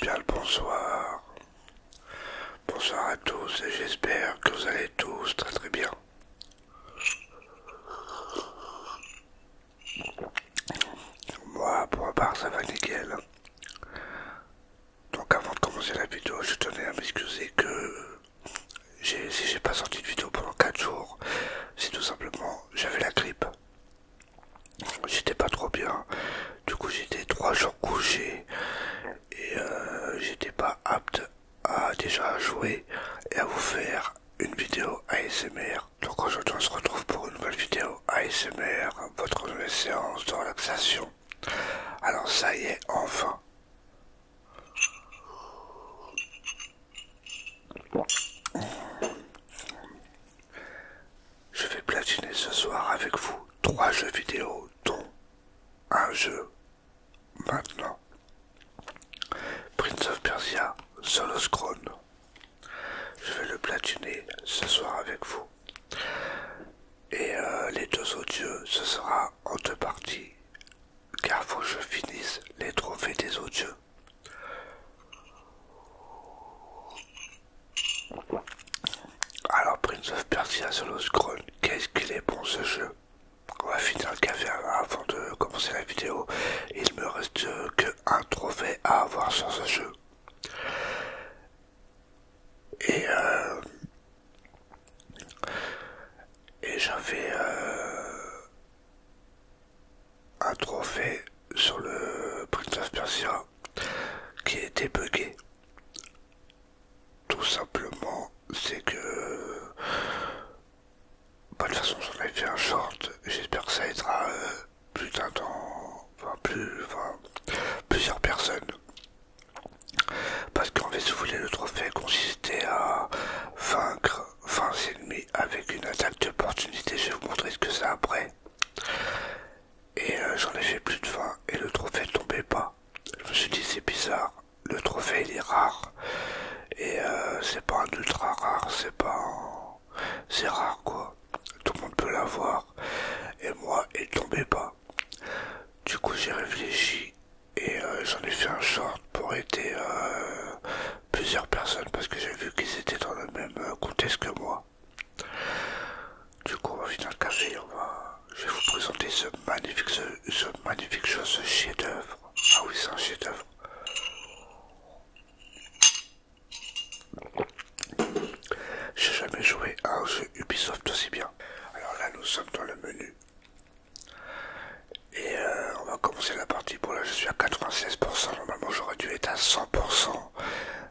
Bien le bonsoir. Bonsoir à tous et j'espère que vous allez tous très très bien. Moi, pour ma part, ça va nickel. Donc avant de commencer la vidéo, je tenais à m'excuser que si j'ai pas sorti de vidéo pendant 4 jours, c'est tout simplement j'avais la grippe. J'étais pas trop bien. Du coup, j'étais 3 jours couché et euh, j'étais pas apte à déjà jouer et à vous faire une vidéo ASMR donc aujourd'hui on se retrouve pour une nouvelle vidéo ASMR, votre nouvelle séance de relaxation. Alors ça y est, enfin. Je vais platiner ce soir avec vous trois jeux vidéo dont un jeu maintenant. Prince of Persia, Solo je vais le platiner ce soir avec vous. Et euh, les deux autres ce sera en deux parties. Car faut que je finisse les trophées des odieux. Alors Prince of Persia Solo Scroll, qu'est-ce qu'il est bon ce jeu On va finir le café avant de commencer la vidéo. Il me reste qu'un trophée à avoir sur ce jeu. Et, euh, et j'avais euh, un trophée sur le Prince of Persia qui était bugué. Tout simplement, c'est que... Bah, de toute façon, j'en ai fait un short. J'espère que ça aidera euh, plus d'un temps, enfin, plus, enfin, plusieurs personnes. Parce qu'en fait, si vous voulez, le trophée consistait à vaincre 20 ennemis avec une attaque d'opportunité. Je vais vous montrer ce que c'est après. Et euh, j'en ai fait plus de 20 et le trophée tombait pas. Je me suis dit, c'est bizarre. Le trophée, il est rare. Et euh, c'est pas un ultra rare, c'est pas c'est rare quoi, tout le monde peut l'avoir, et moi, ne tombait pas. Du coup, j'ai réfléchi et euh, j'en ai fait un short pour aider euh, plusieurs personnes parce que j'ai vu qu'ils étaient dans le même euh, contexte que moi. Du coup, on va finir le café, je vais vous présenter ce magnifique, ce, ce magnifique chose, ce chef-d'œuvre. Ah oui, c'est un chef-d'œuvre. J'ai jamais joué à un jeu Ubisoft aussi bien. Alors là, nous sommes dans le menu. Et euh, on va commencer la partie. Bon, là, je suis à 96%. Normalement, j'aurais dû être à 100%.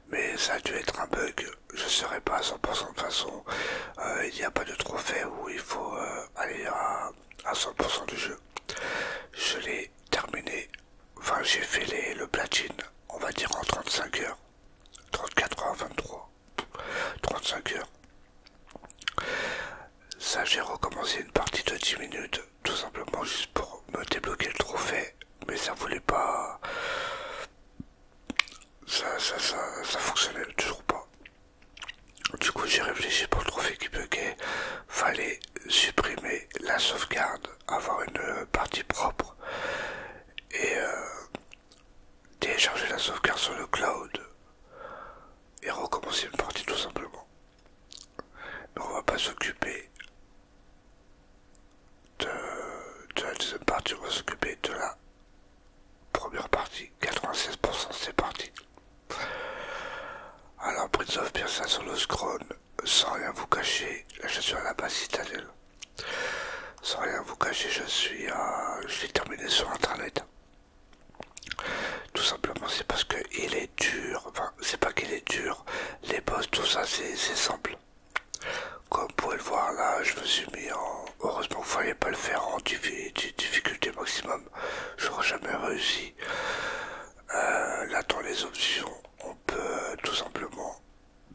Mais ça a dû être un bug. Je ne serai pas à 100% de façon. Euh, il n'y a pas de trophée où il faut euh, aller à 100% du jeu. Je l'ai terminé Enfin, j'ai fait le platine, on va dire en 35 heures. 34 heures, 23. 35 heures. Ça, j'ai recommencé une partie de 10 minutes, tout simplement juste pour me débloquer le trophée, mais ça voulait pas. Ça, ça, fonctionnait toujours pas. Du coup, j'ai réfléchi pour le trophée qui buguait. Fallait supprimer la sauvegarde avoir une partie propre et euh, télécharger la sauvegarde sur le cloud et recommencer une partie tout simplement. on va pas s'occuper de, la deuxième partie, on va s'occuper de la première partie. 96% c'est parti. Alors Prince of Persia sur le Scrone, sans rien vous cacher, je suis à la base citadelle. Sans rien vous cacher, je suis à... Je l'ai terminé sur internet. Tout simplement, c'est parce que il est dur. Enfin, c'est pas qu'il est dur. Les boss, tout ça, c'est simple. Comme vous pouvez le voir là, je me suis mis en... Heureusement, vous ne pas le faire en difficulté maximum. J'aurais jamais réussi. Euh, là, dans les options, on peut tout simplement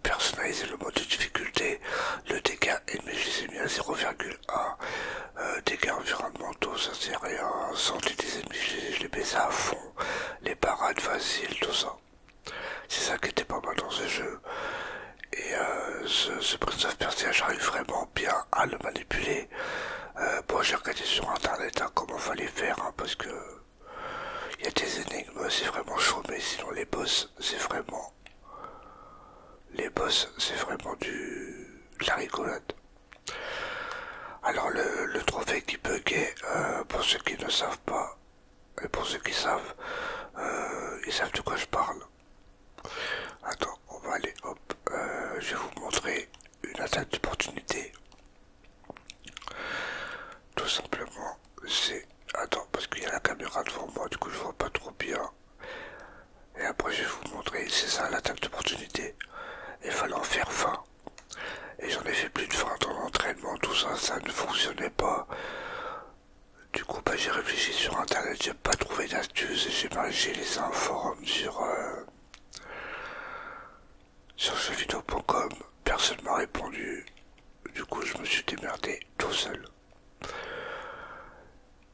personnaliser le mode de difficulté, le dégât ennemi, je mis à 0,1, dégâts environnementaux, ça à rien, santé des ennemis, je les baisse à fond, les parades faciles, tout ça. C'est ça qui était pas mal dans ce jeu. Et euh, ce, Prince of Persia, j'arrive vraiment bien à le manipuler. Euh, bon, j'ai regardé sur internet comment hein, comment fallait faire, hein, parce que il y a des énigmes, c'est vraiment chaud, mais sinon les boss, c'est vraiment. Les boss, c'est vraiment du. De la rigolade. Alors le, trophée qui peut euh, pour ceux qui ne savent pas, et pour ceux qui savent, euh, ils savent de quoi je parle. Attends, on va aller, hop, euh, je vais vous montrer une attaque d'opportunité. Tout simplement, c'est... Attends, parce qu'il y a la caméra devant moi, du coup je vois pas trop bien. Et après je vais vous montrer, c'est ça l'attaque d'opportunité. Il fallait en faire fin Et j'en ai fait plus de fin dans l'entraînement, tout ça, ça ne fonctionnait pas. Du coup, bah, j'ai réfléchi sur internet, j'ai pas trouvé et j'ai mangé les informes sur, euh, sur jeuxvideo.com, personne m'a répondu. Du coup, je me suis démerdé tout seul.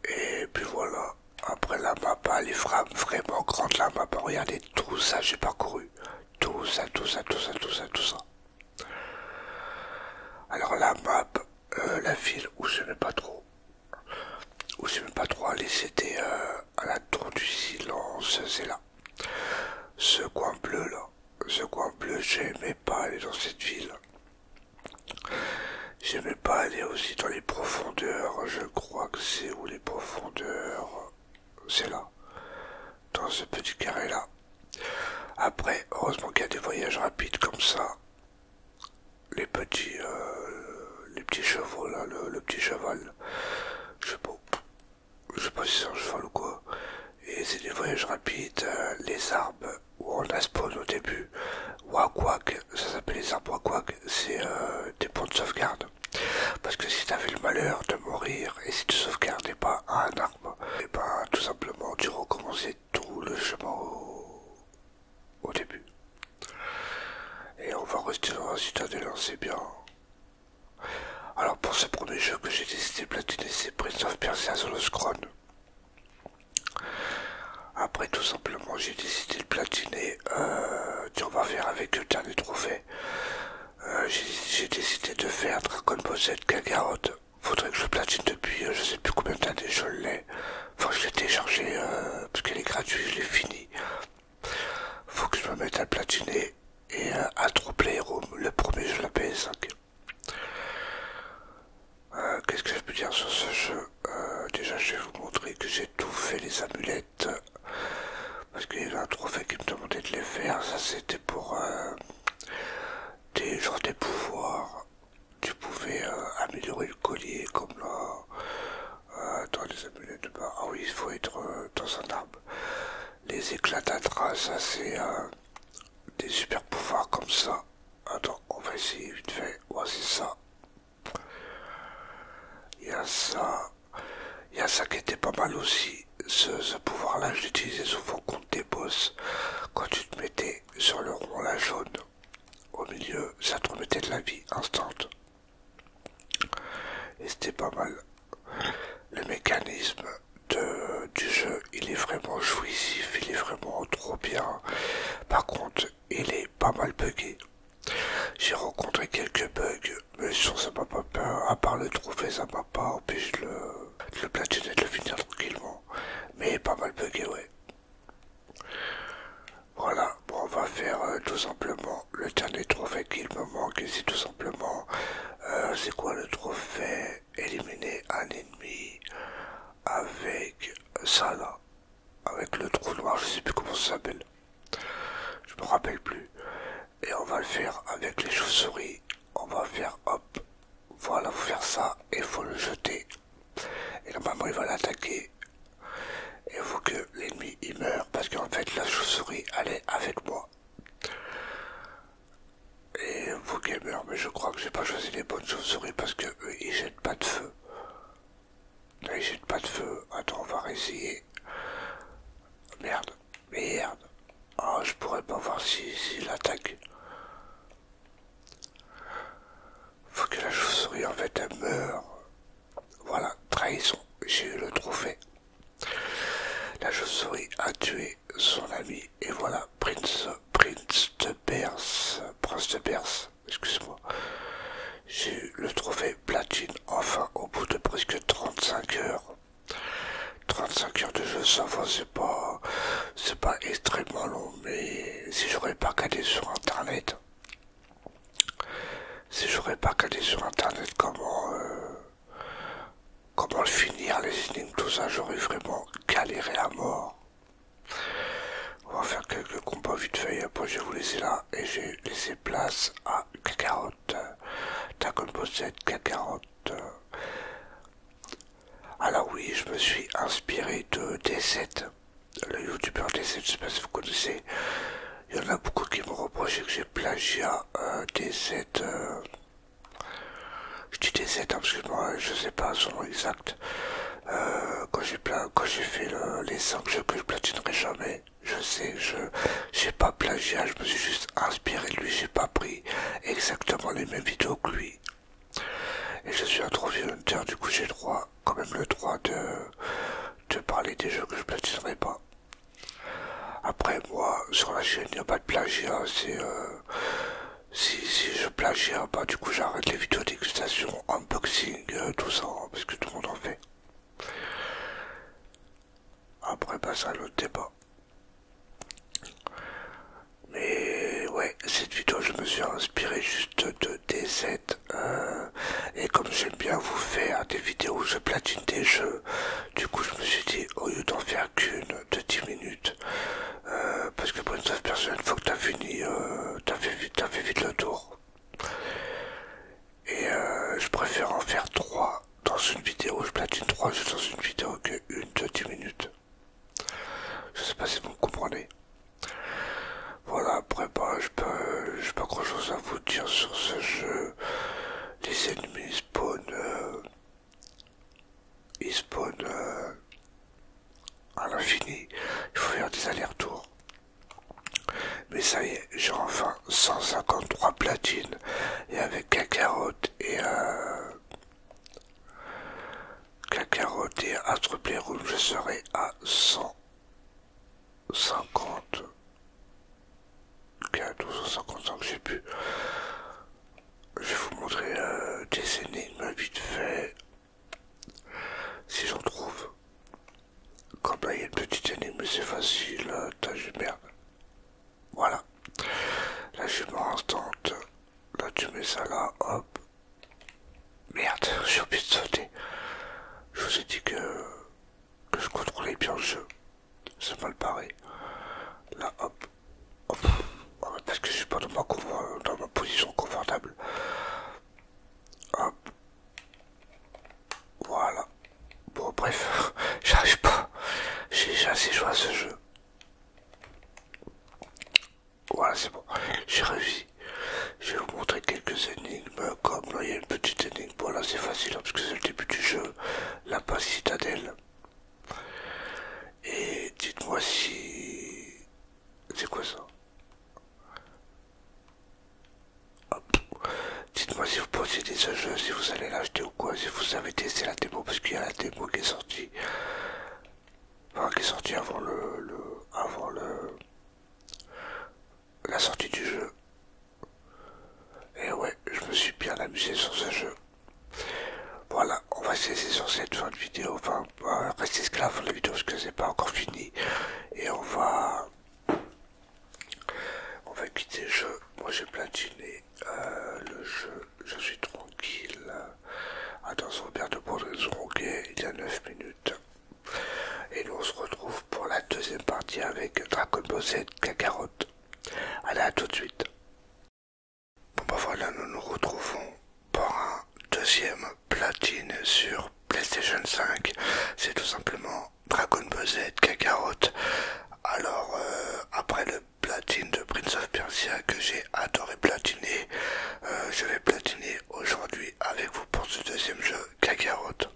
Et puis voilà. Après la map, les est vraiment grande la map. Regardez tout ça, j'ai parcouru. Tout ça, tout ça, tout ça, tout ça, tout ça. Alors la map, euh, la ville où je n'ai pas trop, où j'aimais pas trop aller, c'était euh, à la tour du silence, c'est là. Ce coin bleu là, ce coin bleu, j'aimais pas aller dans cette ville. J'aimais pas aller aussi dans les profondeurs, je crois que c'est où les profondeurs C'est là, dans ce petit carré là. Après, heureusement qu'il y a des voyages rapides comme ça. Les petits, euh, les petits chevaux là, le, petit cheval, je sais pas, je sais pas si c'est un cheval ou quoi, et c'est des voyages rapides, euh, les arbres où on a spawn au début, Wakwak, ça s'appelle les arbres Wakwak, c'est euh, des points de sauvegarde. Parce que si t'avais le malheur de mourir et si tu sauvegardais pas un arbre, et ben tout simplement tu recommençais tout le chemin au, début. Et on va rester là si t'as c'est bien. Alors pour ce premier jeu que j'ai décidé de platiner, c'est Prince of Persia sur le Après tout simplement j'ai décidé de platiner, euh, on va faire avec le dernier trophée. Euh, j'ai décidé de faire Dragon Ball Z Kakarot. Faudrait que je platine depuis euh, je sais plus combien d'années je l'ai. Enfin je l'ai téléchargé parce qu'elle est gratuite, je l'ai fini. Faut que je me mette à platiner et, à euh, a room le premier jeu de la PS5. Euh, qu'est-ce que je peux dire sur ce jeu euh, Déjà, je vais vous montrer que j'ai tout fait les amulettes parce qu'il y a un trophée qui me demandait de les faire. Ça, c'était pour des genre des pouvoirs. Tu pouvais améliorer le collier comme là dans les amulettes de bah, Ah oui, il faut être dans un arbre les éclatatras, ça c'est euh, des super pouvoirs comme ça. Attends, on va essayer vite fait. Ouais, c'est ça. Il y a ça. Il y a ça qui était pas mal aussi. Ce, ce pouvoir-là, je l'utilisais souvent contre des boss. Quand tu te mettais sur le rond, la jaune, au milieu, ça te remettait de la vie instant. Et c'était pas mal le mécanisme de, du jeu, il est vraiment jouissif, il est vraiment trop bien. Par contre, il est pas mal bugué. J'ai rencontré quelques bugs, mais sur ça m'a pas peur, à part le trouver, ça m'a pas empêché de le, le platiner et de le finir tranquillement. Mais pas mal bugué, ouais. Voilà, bon, on va faire euh, tout simplement le dernier trophée qu'il me manque, c'est tout simplement euh, c'est quoi le trophée Éliminer un ennemi avec ça là. Avec le trou noir, je sais plus comment ça s'appelle. Je me rappelle plus. Et on va le faire avec les chauves-souris. On va faire hop. Voilà, vous faire ça et faut le jeter. Et normalement, il va l'attaquer. Et il faut que l'ennemi il meurt parce qu'en fait la chauve-souris elle est avec moi. Et vous gamers, mais je crois que j'ai pas choisi les bonnes chauves-souris parce que eux, ils jettent pas de feu. ils jettent pas de feu. Attends, on va réessayer. Merde, merde. Ah, je pourrais pas voir s'il si, attaque. Faut que la chauve-souris en fait elle meure. Voilà, trahison, j'ai eu le trophée. La chauve-souris a tué son ami. Et voilà, Prince, Prince de Perse, Prince de Perse, excuse-moi. J'ai eu le trophée platine enfin au bout de presque 35 heures. 35 heures de jeu, ça va, c'est pas, c'est pas extrêmement long, mais si j'aurais pas calé sur internet, si j'aurais pas calé sur internet comment, euh, Comment le finir les énigmes, tout ça, j'aurais vraiment galéré à mort. On va faire quelques combats vite fait, après je vais vous laisser là, et j'ai laissé place à Kakarot. Dragon Bosset, Alors oui, je me suis inspiré de D7, le youtubeur D7, je sais pas si vous connaissez. Il y en a beaucoup qui me reprochent que j'ai plagié à D7 je dis des 7 hein, ans que moi, je sais pas son nom exact. Euh, quand j'ai quand j'ai fait les 5 jeux que je platinerai jamais, je sais, je n'ai pas plagiat, hein, je me suis juste inspiré de lui, j'ai pas pris exactement les mêmes vidéos que lui. Et je suis un trophée hunter, du coup j'ai droit, quand même le droit de, de parler des jeux que je platinerai pas. Après moi, sur la chaîne, il n'y a pas de plagiat, c'est euh, euh, si, je un pas, du coup j'arrête les vidéos dégustation, unboxing, euh, tout ça, hein, parce que tout le monde en fait. Après, bah, ça, le débat. Mais ouais, cette vidéo, je me suis inspiré juste de DZ. Euh, et comme j'aime bien vous faire des vidéos où je platine des jeux, du coup, je me suis dit, au lieu d'en faire qu'une, de 10 minutes. Euh, parce que pour une seule personne, faut fois que tu as fini, euh, t'as tu as, fait vite le tour. Et euh, je préfère en faire 3 dans une vidéo, je platine 3 juste dans une vidéo que une de 10 minutes. Je sais pas si vous me comprenez. Voilà, après, bah, je peux, j'ai pas grand chose à vous dire sur ce jeu. Les ennemis spawn il spawn euh, à l'infini. Il faut faire des allers-retours. Mais ça y est, j'ai enfin 153 platines. Et avec Kakarot et... Euh, Kakarot et Astre Playroom, je serai à 150. 4 ou 155, je sais plus. Je vais vous montrer des euh, énigmes vite fait. Si j'en trouve. Comme là il y a une petite énigme, c'est facile. Euh, t'as juste merde. Voilà. Là je instante. Là tu mets ça là, hop. Merde, j'ai oublié de sauter. Je vous ai dit que, que je contrôlais bien le jeu ça va le Là, hop, ah, parce que je suis pas euh, dans ma, position confortable. Hop, voilà. Bon, bref, j'arrive pas. J'ai assez joué à ce jeu. Voilà, c'est bon. J'ai réussi. Je vais vous montrer quelques énigmes. Comme il y a une petite énigme. Voilà, c'est facile, hein, parce que c'est le début du jeu. La base citadelle. Et dites-moi si... C'est quoi ça Dites-moi si vous possédez ce jeu, si vous allez l'acheter ou quoi, si vous avez testé la démo, parce qu'il y a la démo qui est sortie. qui est sortie avant le, le. avant le. la sortie du jeu. Et ouais, je me suis bien amusé sur ce jeu. Voilà, on va cesser sur cette fin de vidéo, enfin, rester esclave de la vidéo parce que c'est pas encore fini. Et on va... On va quitter le jeu. Moi j'ai platiné euh, le jeu, je suis tranquille. Attention, père de Bourdres Ronguet, il y a 9 minutes. Et nous on se retrouve pour la deuxième partie avec Dragon Ball Z Kakarot. Allez, à tout de suite. Bon bah voilà, nous nous retrouvons pour un deuxième platine sur PlayStation 5. C'est tout simplement Dragon Ball Z Kakarot. Alors euh, après le platine de Prince of Persia que j'ai adoré platiner, euh, je vais platiner aujourd'hui avec vous pour ce deuxième jeu Kakarot.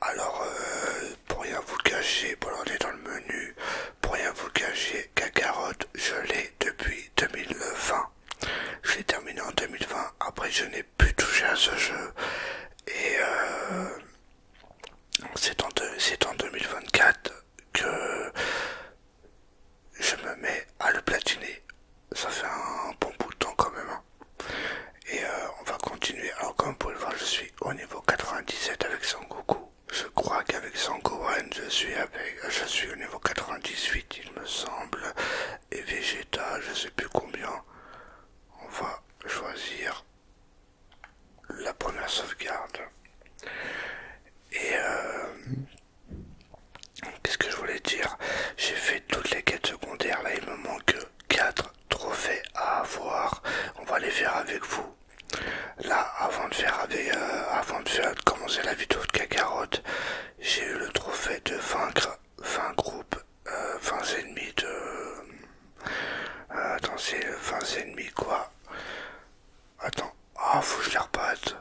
Alors euh, pour rien vous cacher, bon on est dans le menu, pour rien vous cacher Cagarotte, je l'ai depuis 2020. je l'ai terminé en 2020, après je n'ai plus touché à ce jeu et euh, c'est en, 2024 que je me mets à le platiner. Ça fait un bon bout de temps quand même. Hein. Et euh, on va continuer. Alors comme vous le voir, je suis au niveau 97 avec son Goku. Je crois qu'avec Sankoan, je suis avec, je suis au niveau 98, il me semble, et Vegeta, je sais plus combien. On va choisir la première sauvegarde. Et euh, qu'est-ce que je voulais dire J'ai fait toutes les quêtes secondaires, là il me manque 4 trophées à avoir. On va les faire avec vous Là, avant de faire, euh, avant de commencer la vidéo de Cacarotte, j'ai eu le trophée de vaincre 20 groupes, 20 euh, ennemis de. Euh, attends, c'est 20 ennemis quoi Attends, ah, faut que je les rebatte.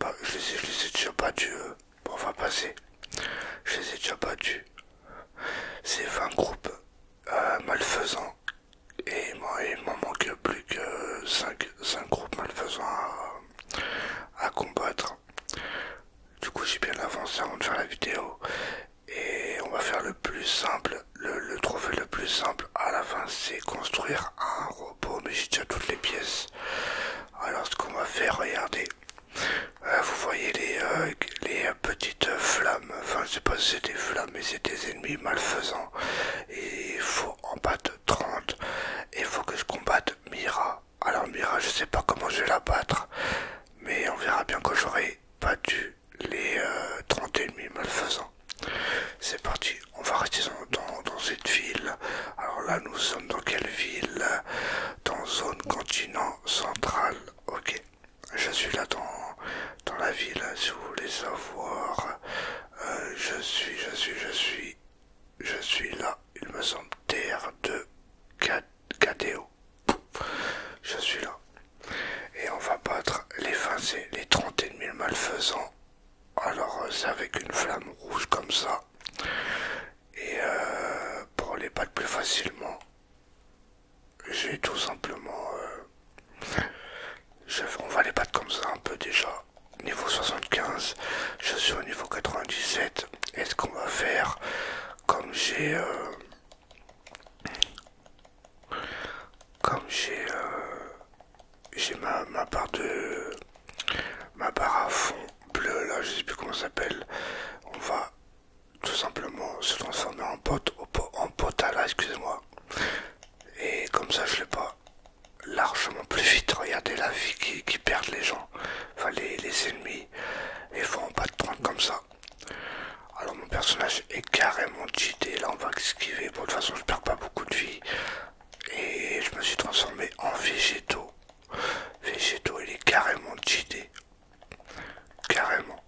Bah, je les ai, déjà battus. Euh. Bon, on va passer. Je les ai déjà battus. C'est 20 groupes malfaisants et moi, il m'en manque plus que 5, groupes malfaisants à, combattre. Du coup, j'ai bien avancé avant de faire la vidéo. Et on va faire le plus simple. Le, trouver le plus simple à la fin, c'est construire un robot. Mais j'ai déjà toutes les pièces. Alors, ce qu'on va faire, regardez. Euh, vous voyez les, euh, les petite flamme, enfin je sais pas si c'est des flammes mais c'est des ennemis malfaisants et il faut en battre 30 et il faut que je combatte Mira. Alors Mira je sais pas comment je vais la battre mais on verra bien quand j'aurai battu les 30 euh, ennemis malfaisants. C'est parti, on va rester dans, dans cette ville. Alors là nous sommes dans quelle ville Dans zone continent central, ok je suis là dans, la ville, si vous voulez savoir. Euh, je suis, je suis, je suis, je suis là, il me semble, terre de KDO. Je suis là. Et on va battre les et les 31 malfaisants. Alors, euh, c'est avec une flamme rouge comme ça. Et euh, pour les battre plus facilement, j'ai tout simplement... Euh, on va les battre comme ça un peu déjà. Niveau 75, je suis au niveau 97. Est-ce qu'on va faire comme j'ai... Euh, comme j'ai... Euh, j'ai ma, barre de... Ma barre à fond bleue là, je sais plus comment ça s'appelle. On va tout simplement se transformer en pote, en pot à excusez-moi. Et comme ça, je l'ai pas largement plus vite. Regardez la vie qui, perdent les gens, enfin les, ennemis. Et font pas de 30 comme ça. Alors mon personnage est carrément cheaté. Là, on va esquiver. Bon, de toute façon, je perds pas beaucoup de vie. Et je me suis transformé en végétaux. Végétaux, il est carrément cheaté. Carrément.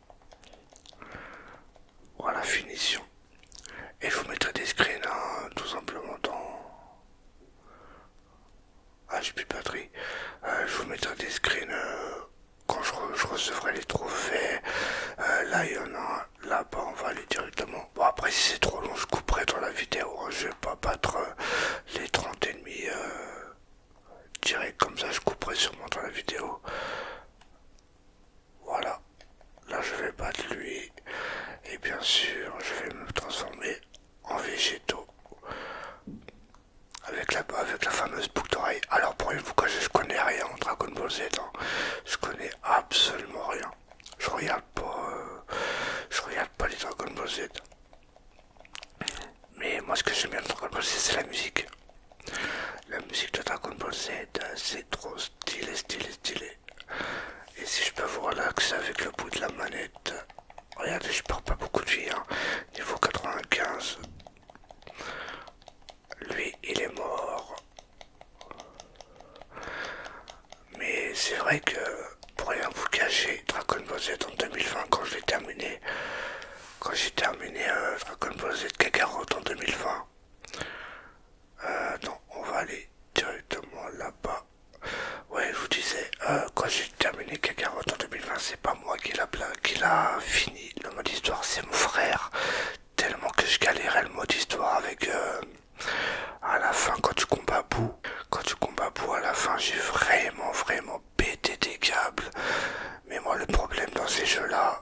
Voilà, finition. Et je vous mettrai des screens hein, tout simplement dans... Ah, j'ai plus de batterie. Euh, je vous mettrai des screens euh, quand je, recevrai les trophées. Euh, là, il y en a Là-bas, on va aller directement. Bon, après, si c'est trop long, je couperai dans la vidéo. Hein. Je vais pas battre les 30 et demi, direct comme ça. Je couperai sûrement dans la vidéo. Voilà. Là, je vais battre lui. Et bien sûr, je vais me transformer en végétaux. Avec la, fameuse boucle d'oreille. Alors, pour une fois, je connais rien en Dragon Ball Z. Hein. Je connais absolument rien. Je regarde pas. Euh, je regarde pas les Dragon Ball Z. Mais moi, ce que j'aime bien dans Dragon Ball Z, c'est la musique. La musique de Dragon Ball Z, c'est trop stylé, stylé, stylé. Et si je peux vous relaxer avec le bout de la manette, regardez, je perds pas beaucoup de vie, hein. niveau 95. Lui, il est mort. Mais c'est vrai que, pour rien vous cacher, Dragon Ball Z en 2020, quand je terminé, quand j'ai terminé euh, Dragon Ball Z Kagarot en 2020, euh, non, on va aller directement là-bas. Ouais, je vous disais, euh, quand j'ai terminé Kakarot en 2020, c'est pas moi qui l'a qui l'a fini le mode histoire, c'est mon frère. Tellement que je galérais le mode histoire avec euh, à la fin quand tu combats bout, Quand tu combats Bou à la fin, j'ai vraiment vraiment pété des câbles. Mais moi le problème dans ces jeux-là,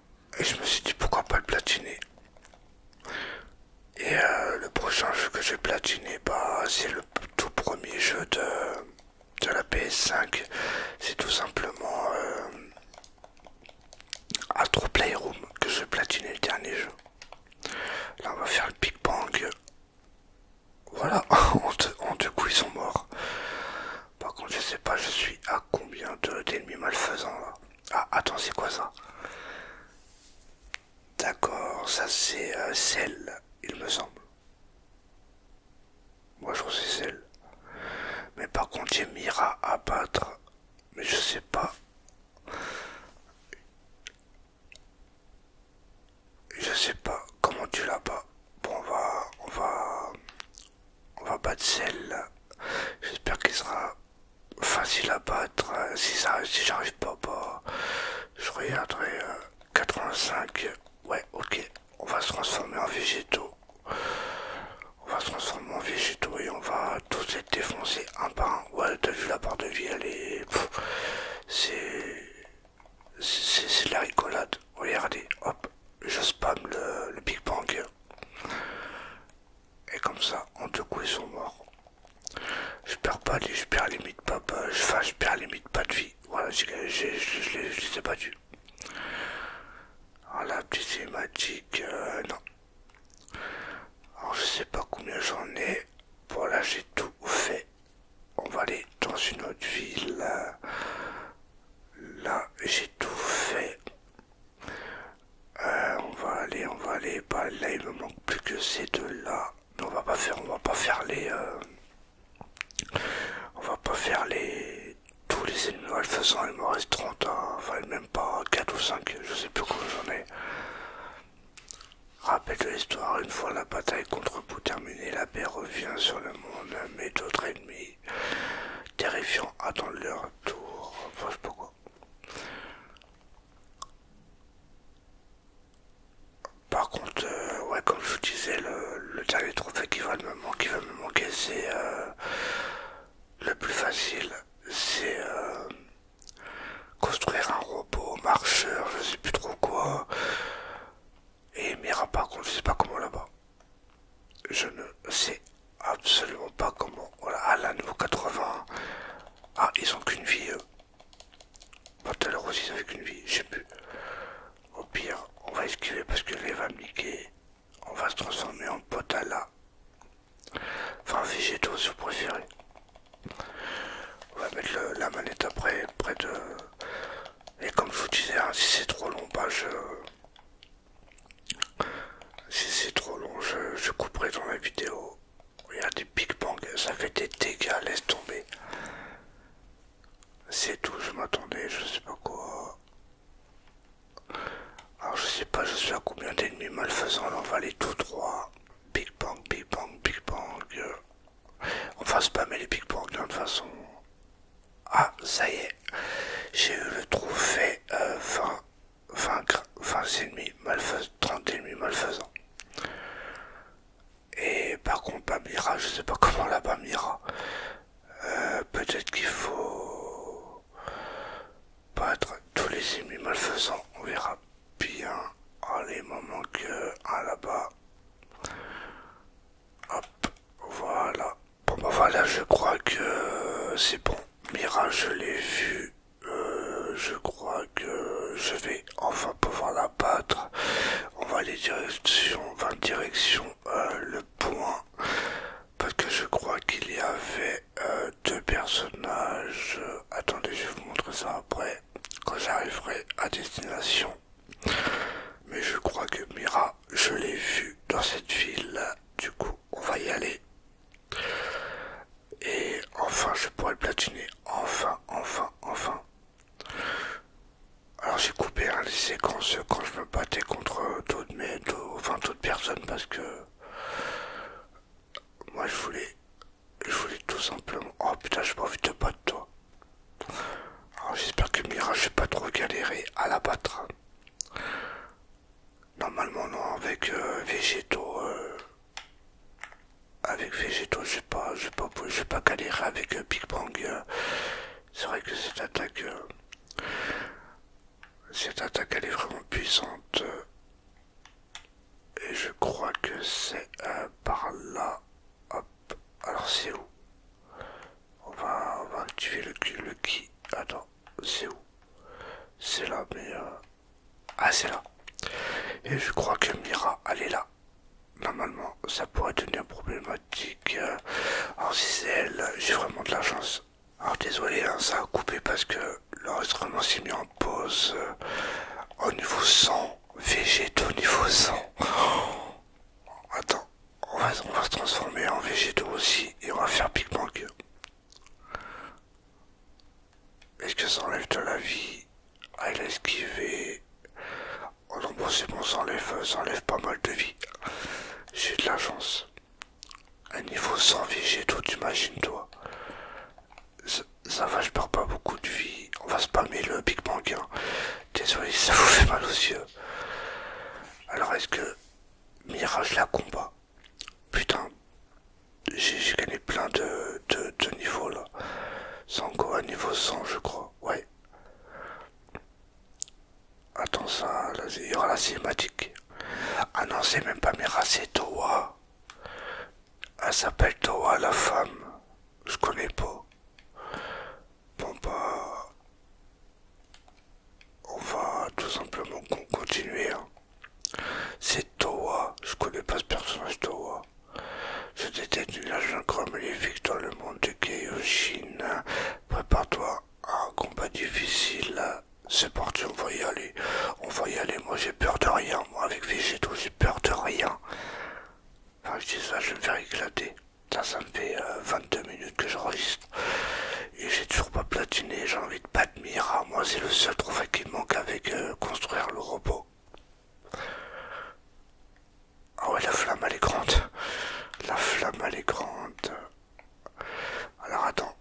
et je me suis dit pourquoi pas le platiner. Et euh, le prochain jeu que j'ai platiné, bah, c'est le tout premier jeu de, de la PS5. C'est tout simplement Atro euh, Astro Playroom que vais platiner le dernier jeu. Là on va faire le Big Bang. Voilà, en deux coups ils sont morts. Par contre, je sais pas, je suis à combien d'ennemis malfaisants là. Ah, attends, c'est quoi ça D'accord, ça c'est euh, celle, il me semble. Moi je sais celle. Mais par contre, j'ai Mira à battre. Mais je sais pas. Je sais pas comment tu l'as pas. Bon, on va, on va, on va battre celle-là. J'espère qu'il sera facile à battre. Hein. Si, si j'arrive pas, bah, je regarderai 85. Euh, ouais, ok. On va se transformer en végétaux. On va se transformer en végétaux et on va tous être défoncés un par un. Ouais, t'as vu la barre de vie, elle est. C'est. C'est la rigolade. Regardez, hop, je spam le, le Big Bang. Et comme ça, en deux coups, ils sont morts. Je perds pas, je perds limite pas, enfin, je perds limite pas de vie. Voilà, je les ai battus. Alors, la petite cinématique, euh, non. Alors, je sais pas combien j'en ai. Bon, là, j'ai tout fait. On va aller dans une autre ville. Là, j'ai tout fait. Euh, on va aller, on va aller. là, il me manque plus que ces deux-là. on va pas faire, on va pas faire les. Euh, on va pas faire les. Tous les ennemis. De toute façon, il me reste 30. Hein. enfin, même pas 4 ou 5. Je sais plus combien j'en ai. Rappel de l'histoire, une fois la bataille contre vous terminée, la paix revient sur le monde, mais d'autres ennemis Terrifiant. attendre leur tour. je sais pas quoi. Par contre, euh, ouais, comme je vous disais, le, dernier trophée qui va me manquer, c'est euh, le plus facile, c'est euh, construire un robot marcheur, je sais plus trop quoi. Et Mira, par contre, je sais pas comment là-bas je ne sais absolument pas comment. Voilà, à la niveau 80. Ah, ils ont qu'une vie. Eux. Pas ils vie. Je sais plus. Au pire, on va esquiver parce que les va On va se transformer en potala. Enfin, végétaux si vous préférez. On va mettre la manette après, près de. Et comme je vous disais, hein, si c'est trop long, pas bah, je. Si c'est trop long, je, couperai dans la vidéo. Il des Big Bang, ça fait des dégâts, laisse tomber. C'est tout, je m'attendais, je sais pas quoi. Alors je sais pas, je suis à combien d'ennemis malfaisants, là on va aller tout droit. Big Bang, Big Bang, Big Bang. Euh, on va spammer les Big Bang de toute façon. Ah, ça y est, j'ai eu le trophée euh, vaincre 20 ennemis malfaisants, 30 ennemis malfaisants. Et par contre, Mira, je sais pas comment là-bas Mira euh, Peut-être qu'il faut battre tous les ennemis malfaisants. On verra bien. Allez, ah, il m'en manque un là-bas. Hop, voilà. Bon bah voilà, je crois que c'est bon. Mira, je l'ai vu. Euh, je crois que je vais enfin pouvoir la battre. On va aller direction, va direction euh, le point. Parce que je crois qu'il y avait euh, deux personnages. Attendez, je vais vous montre ça après. Quand j'arriverai à destination. Mais je crois que Mira, je l'ai vu dans cette ville. Du coup, on va y aller. Et enfin, je pourrais le platiner. Enfin, enfin, enfin. Alors j'ai coupé hein, les séquences quand je me battais contre toute personne enfin personnes parce que moi je voulais je voulais tout simplement oh putain j'ai pas envie de battre toi alors j'espère que Mira vais pas trop galérer à la battre hein. Normalement non, avec euh, végétaux, euh, avec végétaux, je sais pas, je pas, j'ai pas galéré avec euh, Big Bang. c'est vrai que cette attaque, cette attaque, elle est vraiment puissante. et je crois que c'est par là. Hop, alors c'est où on va, on va activer le, le qui... Attends c'est où. C'est là, mais... Euh, ah, c'est là. Et je crois que Mira, elle est là. Normalement, ça pourrait devenir problématique. Euh, alors si c'est elle, j'ai vraiment de la chance. Alors désolé, hein, ça a coupé parce que l'enregistrement s'est mis en pause. Euh, au niveau 100, végétaux niveau 100. Attends, on va, se transformer en végétaux aussi et on va faire Big Bang. Est-ce que ça enlève de la vie elle il a esquivé. Oh non, bon, c'est bon, euh, ça enlève, pas mal de vie. J'ai de la chance. Un niveau sans vie, j'ai tout, t'imagines, toi. Ça, va, je perds pas beaucoup de vie. On va spammer le Big Bang. Hein. Désolé, ça vous fait mal aux yeux. Alors, est-ce que Mirage la combat Putain, j'ai gagné plein de, de, niveaux là. Sango à niveau 100, je crois. Ouais. Attends, ça, il y aura la cinématique. Ah non, c'est même pas Mira, c'est Toa. Elle s'appelle Toa, la femme. Je connais pas. Bon, bah on va tout simplement continuer. Hein. C'est Toa, je connais pas ce personnage Toa. C'était une agent maléfique dans le monde de Prépare-toi à un combat difficile. C'est parti, on va y aller. On va y aller, moi j'ai peur de rien. Moi avec Végéto, j'ai peur de rien. Enfin, je ça, je vais me faire éclater. Ça, ça me fait 22 euh, minutes que je et j'ai toujours pas platiné, j'ai envie de battre Mira. Ah, moi, c'est le seul trophée qui me manque avec euh, construire le robot. Ah ouais, la flamme, elle est grande. La flamme, elle est grande. Alors, attends.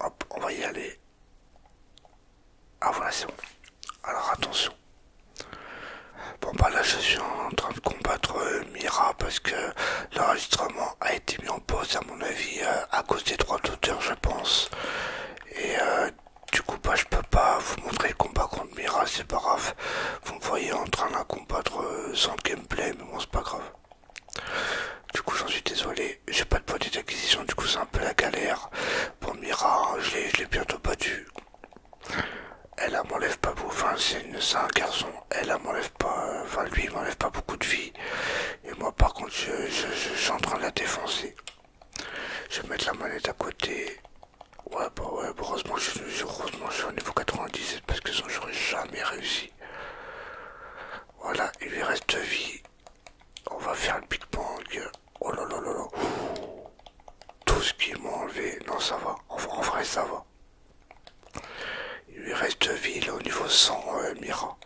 Hop, on va y aller. Ah voilà, c'est bon. Alors, attention. Bon, bah là, je suis en train de combattre euh, Mira parce que l'enregistrement a été mis en à mon avis euh, à cause des droits d'auteur je pense et euh, du coup pas bah, je peux pas vous montrer le combat contre Mira c'est pas grave vous me voyez en train de combattre euh, sans gameplay mais bon c'est pas grave du coup j'en suis désolé j'ai pas de poids d'acquisition du coup c'est un peu la galère pour Mira je l'ai bientôt battu elle m'enlève pas beaucoup, enfin c'est un garçon, elle m'enlève pas, enfin lui m'enlève pas beaucoup de vie, et moi, par contre, je, suis en train de la défoncer. Je vais mettre la manette à côté. Ouais, bah ouais, bah, heureusement, je, heureusement, je suis au niveau 97 parce que sinon, j'aurais jamais réussi. Voilà, il lui reste vie. On va faire le Big Bang. Oh là là là là. Tout ce qui m'a enlevé. Non, ça va. en vrai, ça va. Il lui reste vie. là, au niveau 100, euh, Mira.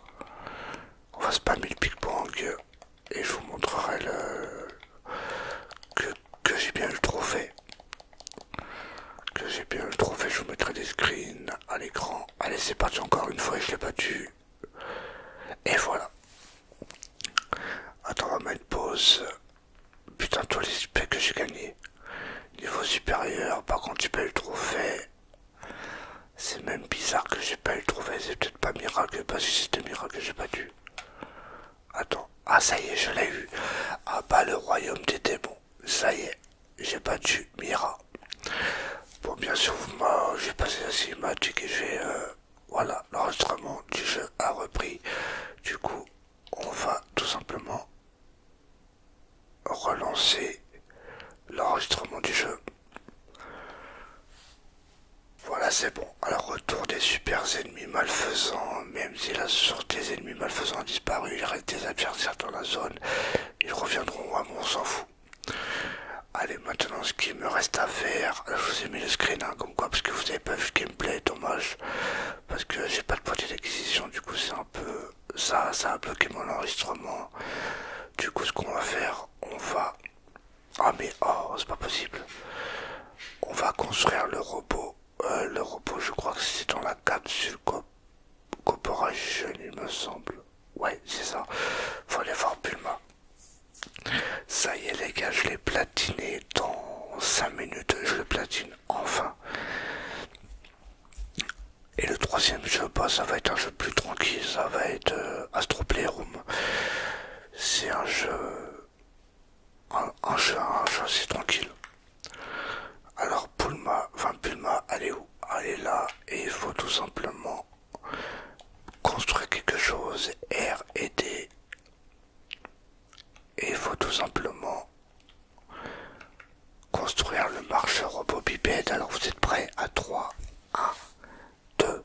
On va spammer le Big Bang et je vous montrerai le... que, j'ai bien eu le trophée. Que j'ai bien eu le trophée, je vous mettrai des screens à l'écran. Allez, c'est parti encore une fois, et je l'ai battu. Et voilà. Attends, on va mettre pause. Putain, tous les super que j'ai gagné. Niveau supérieur, par contre, j'ai pas le trophée. C'est même bizarre que j'ai pas eu trouvé, c'est peut-être pas miracle, parce que c'était miracle que j'ai pas Attends, ah ça y est, je l'ai eu. Ah bah le royaume des démons, ça y est, j'ai battu Mira. Bon bien sûr, moi j'ai passé la cinématique et j'ai... Euh, voilà, l'enregistrement du jeu a repris. Du coup, on va tout simplement relancer l'enregistrement du jeu. Voilà, c'est bon. Alors, retour des super ennemis malfaisants. Même si la sortie des ennemis malfaisants a disparu, il reste des adversaires dans la zone. Ils reviendront à mon on s'en fout. Allez, maintenant, ce qui me reste à faire, je vous ai mis le screen, hein, comme quoi, parce que vous n'avez pas vu le gameplay, dommage. Parce que j'ai pas de point d'acquisition, du coup, c'est un peu ça, ça a bloqué mon enregistrement. Du coup, ce qu'on va faire, on va. Ah, mais oh, c'est pas possible. On va construire le robot. Euh, le robot, je crois que c'est dans la capsule sur Corporation, il me semble. Ouais, c'est ça. Faut aller voir Pulma. Ça y est, les gars, je l'ai platiné dans 5 minutes. Je le platine enfin. Et le troisième jeu, pas, bah, ça va être un jeu plus tranquille, ça va être euh, Astro Playroom. C'est un jeu, un, jeu, assez tranquille. Alors Pulma, enfin Pulma, elle est où Elle là et il faut tout simplement construire quelque chose, R et D. Et il faut tout simplement construire le marcheur robot bipède. Alors vous êtes prêts à 3, 1, 2,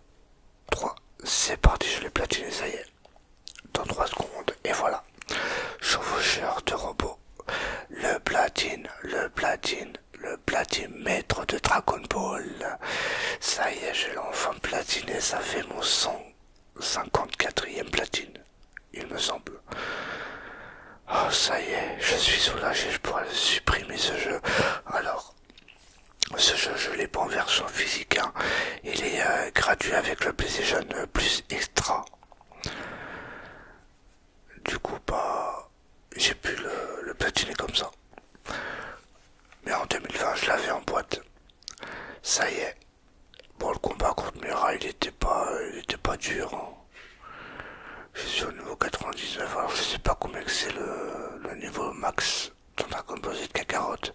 3, c'est parti, je l'ai platiné, ça y est. Dans 3 secondes, et voilà. Chevaucheur de robot. Le platine, le platine, le platine maître de Dragon Ball. Ça y est, je l'ai enfin platiné, ça fait mon 154e platine, il me semble. Oh, ça y est, je suis soulagé, je pourrais supprimer ce jeu. Alors, ce jeu, je l'ai pas en version physique. Hein. Il est euh, gratuit avec le PlayStation Plus Extra. Du coup, bah, j'ai pu le, platiner comme ça. Mais en 2020, je l'avais en boîte. Ça y est. Bon, le combat contre Mira, il était pas, il était pas dur. Hein. Je suis au niveau 99, alors je sais pas combien c'est le, niveau max dans la de cacarotte.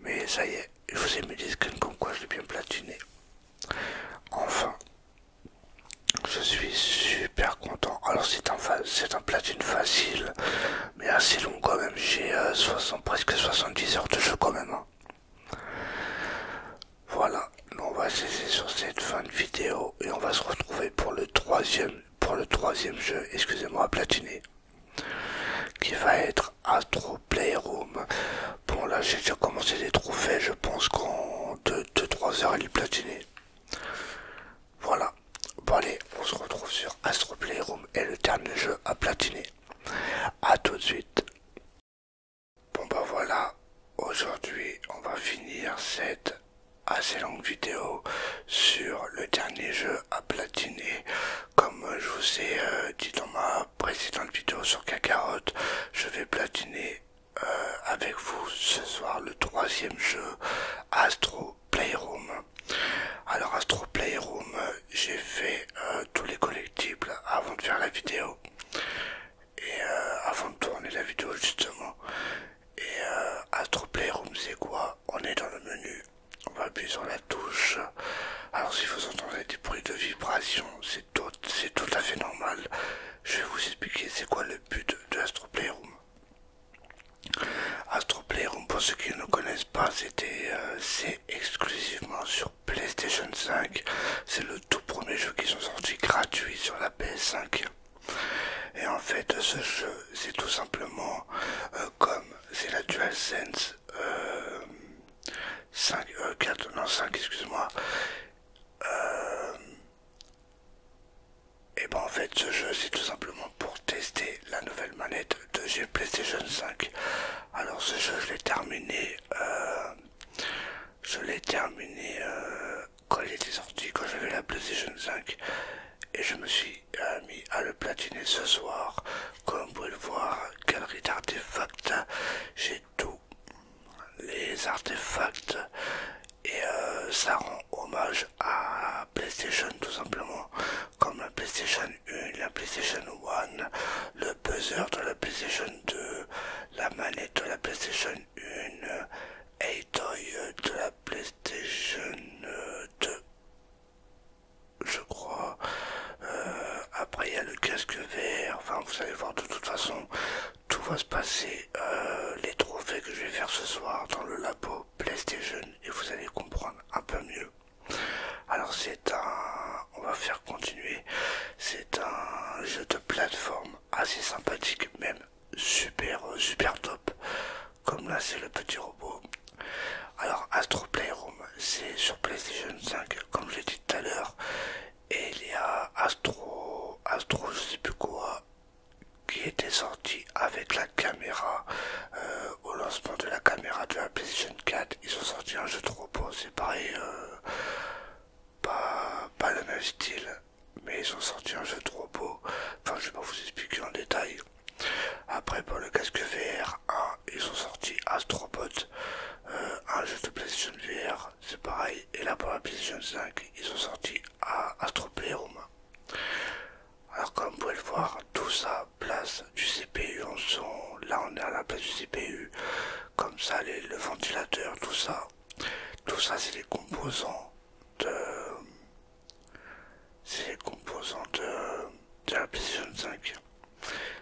Mais ça y est, je vous ai mis des screens comme quoi je l'ai bien platiné. Enfin, je suis super content. Alors c'est un, platine facile, mais assez long quand même. J'ai euh, presque 70 heures de jeu quand même. Hein. Voilà, on va cesser sur cette fin de vidéo et on va se retrouver pour le troisième, jeu, excusez-moi, à platiner, qui va être Astro Playroom. Bon là j'ai déjà commencé les trophées, je pense qu'en 2-3 heures il est platiné. Voilà, bon allez, on se retrouve sur Astro Playroom et le dernier jeu à platiner. A tout de suite. Bon bah voilà, aujourd'hui on va finir cette assez longue vidéo sur le dernier jeu à platiner. Comme je vous ai euh, dit dans ma précédente vidéo sur Cacarotte, je vais platiner euh, avec vous ce soir le troisième jeu Astro Playroom. Alors Astro Playroom, j'ai fait euh, tous les collectibles avant de faire la vidéo et euh, avant de tourner la vidéo justement et euh, Astro Playroom c'est quoi on est dans le menu on va appuyer sur la touche alors si vous entendez des bruits de vibration c'est tout, tout à fait normal je vais vous expliquer c'est quoi le but de Astro Playroom Astro Playroom pour ceux qui ne connaissent pas c'était euh, c'est exclusivement sur PlayStation 5 c'est le tout premier jeu qui sont sorti gratuit sur la PS5 et en fait, ce jeu, c'est tout simplement euh, comme c'est la DualSense 5, euh, euh, non 5, excuse-moi. et ben en fait, ce jeu, c'est tout simplement pour tester la nouvelle manette de G PlayStation 5. Alors ce jeu, je l'ai terminé. je l'ai terminé quand il était sorti, quand j'avais la PlayStation 5 et je me suis euh, mis à le platiner ce soir. Comme vous pouvez le voir, galerie d'artefacts, j'ai tous les artefacts et euh, ça rend hommage à PlayStation tout simplement, comme la PlayStation 1, la PlayStation 1, le buzzer de la PlayStation 2, la manette de la PlayStation 1, Aitoy de la PlayStation 2 je crois euh, après il y a le casque vert enfin vous allez voir de toute façon tout va se passer euh, les trophées que je vais faire ce soir dans le labo PlayStation et vous allez comprendre un peu mieux alors c'est un on va faire continuer c'est un jeu de plateforme assez sympathique même super super top comme là c'est le petit robot alors Astro Playroom c'est sur PlayStation 5 comme je l'ai dit tout à l'heure et il y a Astro Astro je sais plus quoi qui était sorti avec la caméra euh, au lancement de la caméra de la PlayStation 4 ils ont sorti un jeu de robot c'est pareil euh, pas, pas le même style mais ils ont sorti un jeu trop beau. Enfin, je vais pas vous expliquer en détail. Après, pour le casque VR 1, ils ont sorti Astrobot, euh, un jeu de PlayStation VR, c'est pareil. Et là, pour la PlayStation 5, ils ont sorti à Astro Alors, comme vous pouvez le voir, tout ça place du CPU en son. Là, on est à la place du CPU. Comme ça, les, le ventilateur, tout ça. Tout ça, c'est les composants de ces composants euh, de, la PlayStation 5.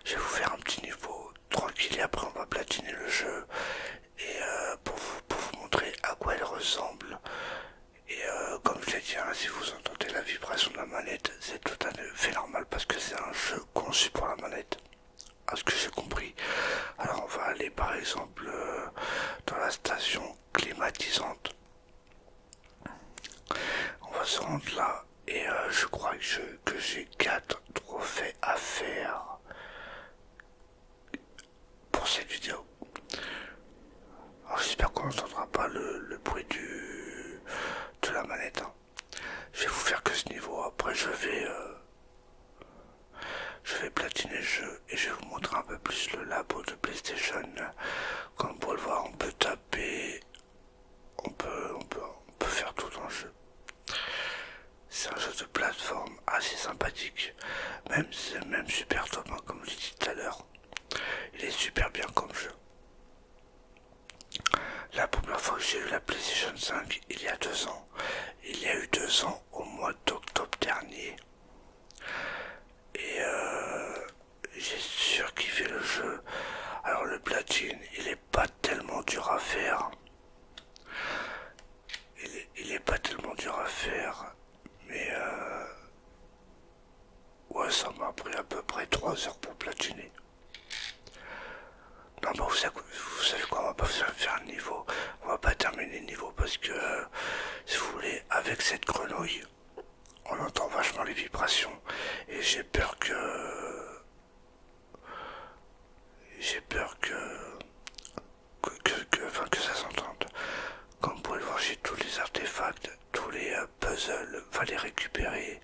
Je vais vous faire un petit niveau tranquille et après on va platiner le jeu et euh, pour, vous, montrer à quoi elle ressemble. Et euh, comme je l'ai dit, hein, si vous entendez la vibration de la manette, c'est tout à fait normal parce que c'est un jeu conçu pour la manette. À ce que j'ai compris. Alors on va aller par exemple dans la station climatisante. On va se rendre là et euh, je crois que j'ai que 4 trophées à faire pour cette vidéo. j'espère qu'on sentira pas le, bruit du, de la manette. Hein. Je vais vous faire que ce niveau, après je vais... Euh, je vais platiner le jeu et je vais vous montrer un peu plus le labo de PlayStation. Comme vous pouvez le voir, on peut taper, on peut, faire tout dans le jeu. C'est un jeu de plateforme assez sympathique, même, c'est même super top, hein, comme je l'ai dit tout à l'heure. Il est super bien comme jeu. La première fois que j'ai eu la PlayStation 5, il y a deux ans. Il y a eu deux ans au mois d'octobre dernier. Et euh, j'ai surkiffé le jeu. Alors le platine, il est pas tellement dur à faire. Il est, pas tellement dur à faire. Mais euh, ouais, ça m'a pris à peu près 3 heures pour platiner. Non, mais vous savez, quoi, on va pas faire, faire le niveau, on va pas terminer le niveau parce que si vous voulez, avec cette grenouille, on entend vachement les vibrations et j'ai peur que j'ai peur que que, que ça s'entende. Comme vous pouvez le voir, j'ai tous les artefacts, tous les euh, puzzles, va les récupérer.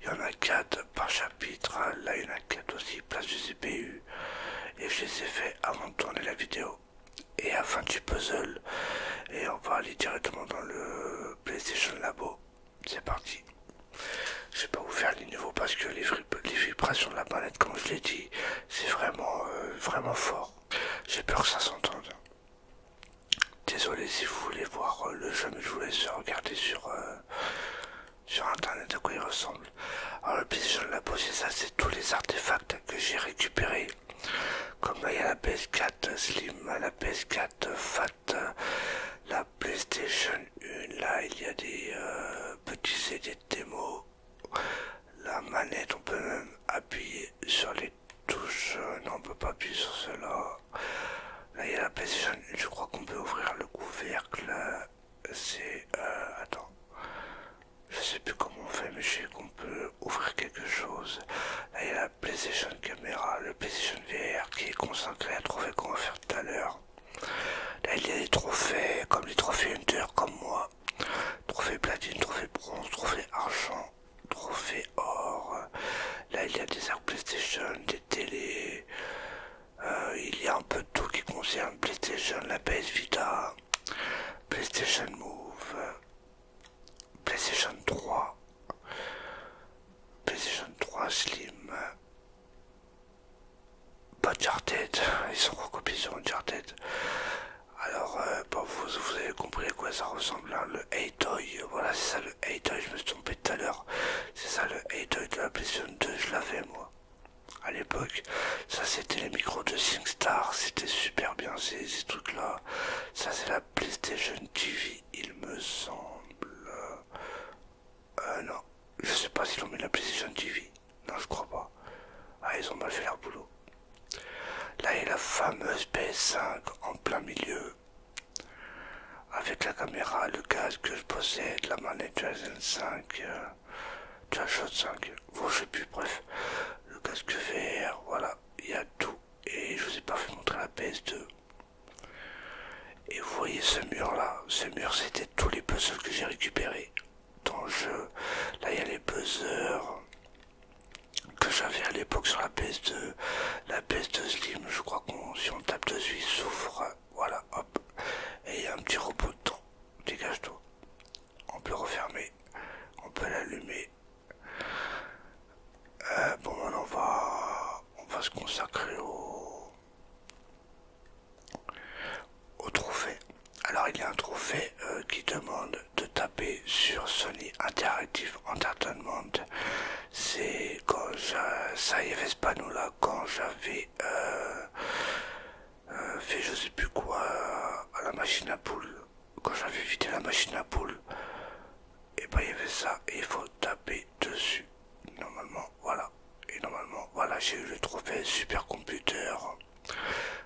Il y en a 4 par chapitre, hein. là il y en a 4 aussi, place du CPU. Et je les ai fait avant de tourner la vidéo et à fin du puzzle. Et on va aller directement dans le PlayStation Labo. C'est parti. Je vais pas vous faire les niveaux parce que les, vibrations de la palette comme je l'ai dit, c'est vraiment, euh, vraiment fort. J'ai peur que ça s'entende. Désolé si vous voulez voir euh, le jeu, mais je vous laisse regarder sur, euh, sur internet à quoi il ressemble. Alors le PlayStation Labo, c'est ça, c'est tous les artefacts que j'ai récupéré, comme il y a la PS4 Slim, la PS4 Fat, la PlayStation 1, là il y a des euh, petits CD de démo, la manette, on peut même appuyer sur les touches, euh, non on peut pas appuyer sur cela. Là il y a la PlayStation 1, je crois qu'on peut ouvrir le couvercle, euh, c'est... attends. Je sais plus comment on fait, mais je sais qu'on peut ouvrir quelque chose. Là, il y a la PlayStation caméra, le PlayStation VR qui est consacré à trouver qu'on va faire tout à l'heure. Là, il y a des trophées, comme les trophées Hunter, comme moi. Trophée platine, trophée bronze, trophée argent, trophée or. Là, il y a des arcs PlayStation, des télés. Euh, il y a un peu de tout qui concerne PlayStation, la PS Vita, PlayStation Move, PlayStation 3, PlayStation 3 Slim, pas tête ils sont recopiés sur Uncharted. Alors, euh, vous, avez compris à quoi ça ressemble, hein, le Hey-Toy, voilà, c'est ça le Hey-Toy, je me suis trompé tout à l'heure, c'est ça le Hey-Toy de la PlayStation 2, je l'avais moi, à l'époque. Ça, c'était les micros de SingStar, c'était super bien ces, trucs-là. Ça, c'est la PlayStation TV, il me semble. Euh, non, je sais pas s'ils ont mis la PlayStation TV. Non, je crois pas. Ah, ils ont mal fait leur boulot. Là, il y a la fameuse PS5 en plein milieu. Avec la caméra, le casque que je possède, la manette de 5 Shot 5, bon, je sais plus, bref, le casque vert, voilà, il y a tout. Et je vous ai pas fait montrer la PS2. Et vous voyez ce mur là, ce mur c'était tous les puzzles que j'ai récupérés dans le jeu. Là il y a les buzzers que j'avais à l'époque sur la PS2, la PS2 Slim, je crois qu'on si on tape dessus il s'ouvre, voilà, hop, et il y a un petit robot dedans, dégage-toi on peut refermer, on peut l'allumer. Euh, bon, on va, on va se consacrer au, au trophée. Alors, il y a un trophée euh, qui demande de taper sur Sony Interactive Entertainment. C'est quand ça y est, là, quand j'avais euh, euh, fait je sais plus quoi euh, à la machine à poule Quand j'avais vidé la machine à poule et eh pas ben, il y avait ça il faut taper dessus. Normalement, voilà. Et normalement, voilà, j'ai eu le trophée computer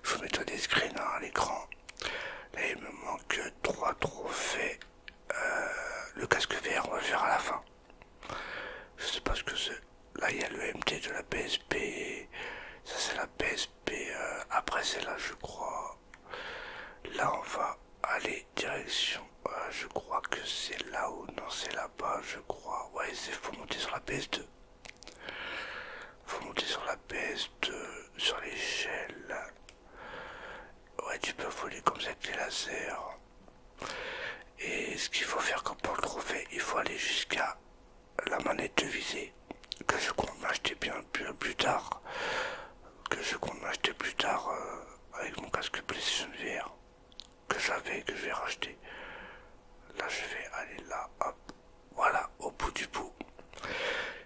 Je vous mettrai des screens à l'écran. Là, il me manque trois trophées. Euh, le casque vert, on va le faire à la fin. Je sais pas ce que c'est. Là, il y a le MT de la PSP. Ça, c'est la psp euh, après c'est là je crois. Là, on va aller direction. Euh, je crois que c'est là-haut. Non, c'est là-bas, je crois. Ouais, c'est faut monter sur la PS2. Faut monter sur la ps sur l'échelle. Ouais, tu peux voler comme ça avec les lasers. Et ce qu'il faut faire comme pour le trophée, il faut aller jusqu'à la manette de visée que je compte m'acheter bien plus, tard que je compte m'acheter plus tard euh, avec mon casque PlayStation VR que j'avais que je vais racheter là je vais aller là hop voilà au bout du bout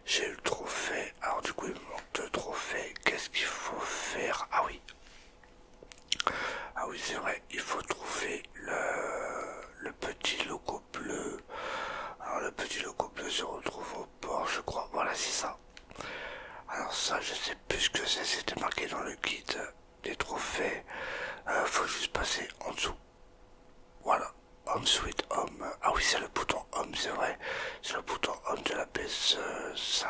j'ai eu le trophée alors du coup il me manque deux trophées qu'est ce qu'il faut faire ah oui ah oui c'est vrai il faut trouver le, le petit logo bleu. Alors le petit logo bleu se retrouve au port, je crois. Voilà, c'est ça. Alors ça, je sais plus ce que c'est. C'était marqué dans le kit des trophées. Euh, faut juste passer en dessous. Voilà. Ensuite, Home. Ah oui, c'est le bouton Home, c'est vrai. C'est le bouton Home de la PS5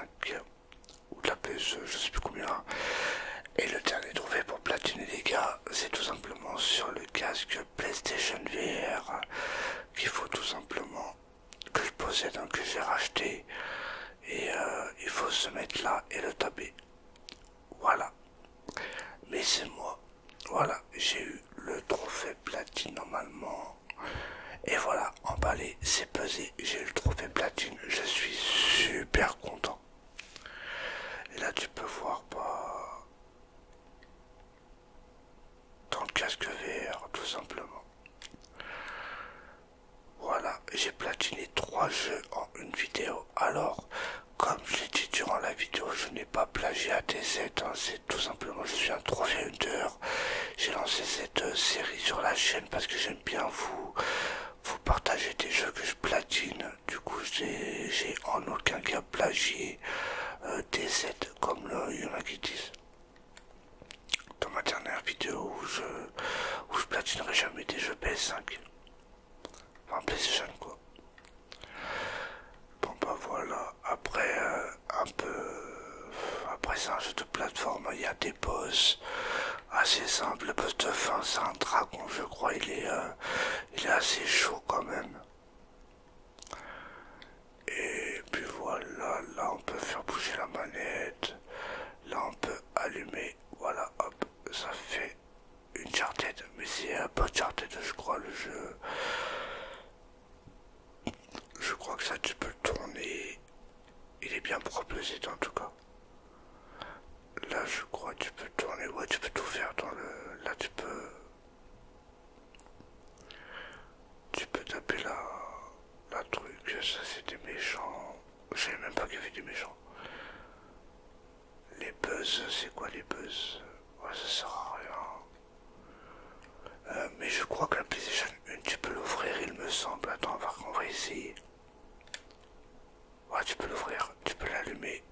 ou de la PS, je sais plus combien. Et le dernier trophée pour platiner les gars, c'est tout simplement sur le casque PlayStation VR qu'il faut tout simplement que je possède, un que j'ai racheté. Et euh, il faut se mettre là et le taper. Voilà. Mais c'est moi. Voilà, j'ai eu le trophée platine normalement. Et voilà, emballé, c'est pesé, j'ai eu le trophée platine, je suis super content. Et là tu peux voir, pas. Bah, dans le casque VR tout simplement. Voilà, j'ai platiné trois jeux en une vidéo. Alors, comme je l'ai dit durant la vidéo, je n'ai pas plagié à des hein. c'est tout simplement je suis un hunter. J'ai lancé cette euh, série sur la chaîne parce que j'aime bien vous, vous partager des jeux que je platine du coup j'ai en aucun cas plagié euh, des sets comme le, il y en a qui disent dans ma dernière vidéo où je, où platinerai jamais des jeux PS5 enfin PS5 quoi bon bah voilà après euh, un peu euh, après ça je jeu de plateforme il y a des boss assez simples. le boss de fin c'est un dragon je crois il est il est assez chaud quand même et puis voilà, là on peut faire bouger la manette, là on peut allumer, voilà hop, ça fait une chartette, mais c'est un peu chartette je crois le jeu. Je crois que ça tu peux tourner, il est bien proposé en tout cas. Là je crois que tu peux tourner, ouais tu peux tout faire dans le... Là tu peux tu peux taper la, la truc, ça c'est des méchants. Je même pas qu'il y avait des méchants. Les buzz, c'est quoi les buzz Ouais, ça sert à rien. Euh, mais je crois que la PlayStation 1, tu peux l'ouvrir, il me semble. Attends, on va essayer. Ouais, tu peux l'ouvrir, tu peux l'allumer.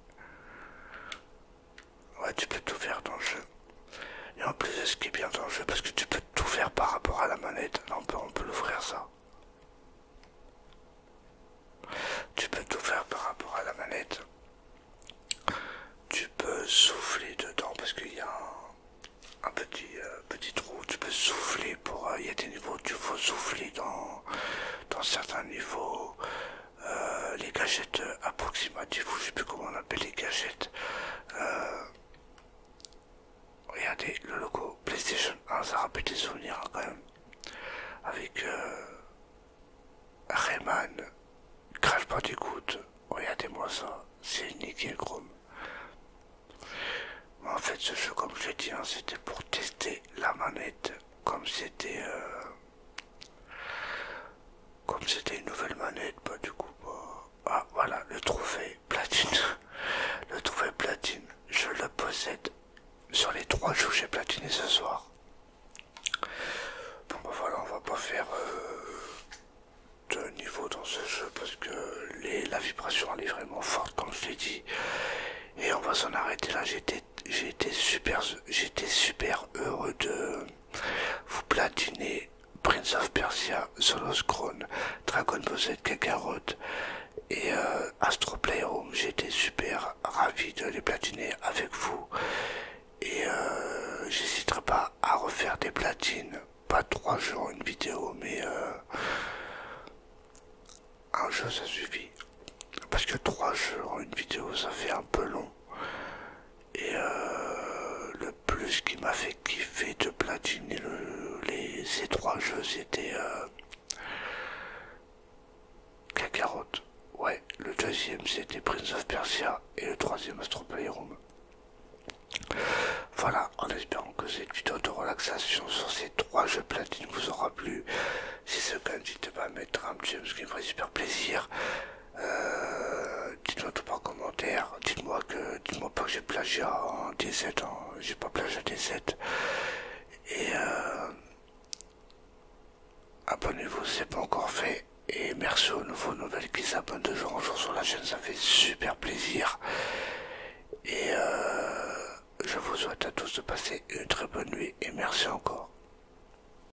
Ouais, tu peux tout faire dans le jeu. Et en plus, ce qui est bien dans le jeu, parce que tu peux tout faire par rapport à la manette. on peut, on l'ouvrir ça. Tu peux tout faire par rapport à la manette. Tu peux souffler dedans parce qu'il y a un, euh, petit, trou. Tu peux souffler pour. Euh, il y a des niveaux tu faut souffler dans certains niveaux. Euh, les gâchettes approximatives, ou je sais plus comment on appelle les gâchettes. Euh, regardez le logo PlayStation 1, ça rappelle des souvenirs hein, quand même. Avec euh, Rayman, Crash Bandicoot, regardez-moi ça, c'est nickel chrome. en fait, ce jeu, comme je l'ai dit, hein, c'était pour tester la manette, comme c'était. Comme c'était une nouvelle manette, bah du coup, bah... Ah voilà, le trophée platine. le trophée platine, je le possède sur les trois jeux que j'ai platiné ce soir. Bon bah voilà, on va pas faire euh, de niveau dans ce jeu parce que la vibration elle est vraiment forte comme je l'ai dit. Et on va s'en arrêter là, j'étais super heureux de vous platinez Prince of Persia, Solos Crown, Dragon Ball Z Kakarot et euh, Astro Playroom. J'étais super ravi de les platiner avec vous et euh, j'hésiterai pas à refaire des platines. Pas trois jours une vidéo, mais euh, un jeu ça suffit. Parce que trois jours en une vidéo ça fait un peu long. Et euh, le plus qui m'a fait kiffer de platiner les, ces trois jeux, c'était euh, Kakarot. Ouais, le deuxième c'était Prince of Persia et le troisième Astro Playroom. Voilà, en espérant que cette vidéo de relaxation sur ces trois jeux platine vous aura plu. Si ce cas, n'hésitez pas à mettre un petit super plaisir. Euh, dites-moi tout par commentaire, dites-moi que dites-moi pas que j'ai plagié en d hein. j'ai pas plagié à d Et euh, abonnez-vous si c'est pas encore fait. Et merci aux nouveaux nouvelles qui s'abonnent de jour en jour sur la chaîne, ça fait super plaisir. Et euh, je vous souhaite à tous de passer une très bonne nuit et merci encore.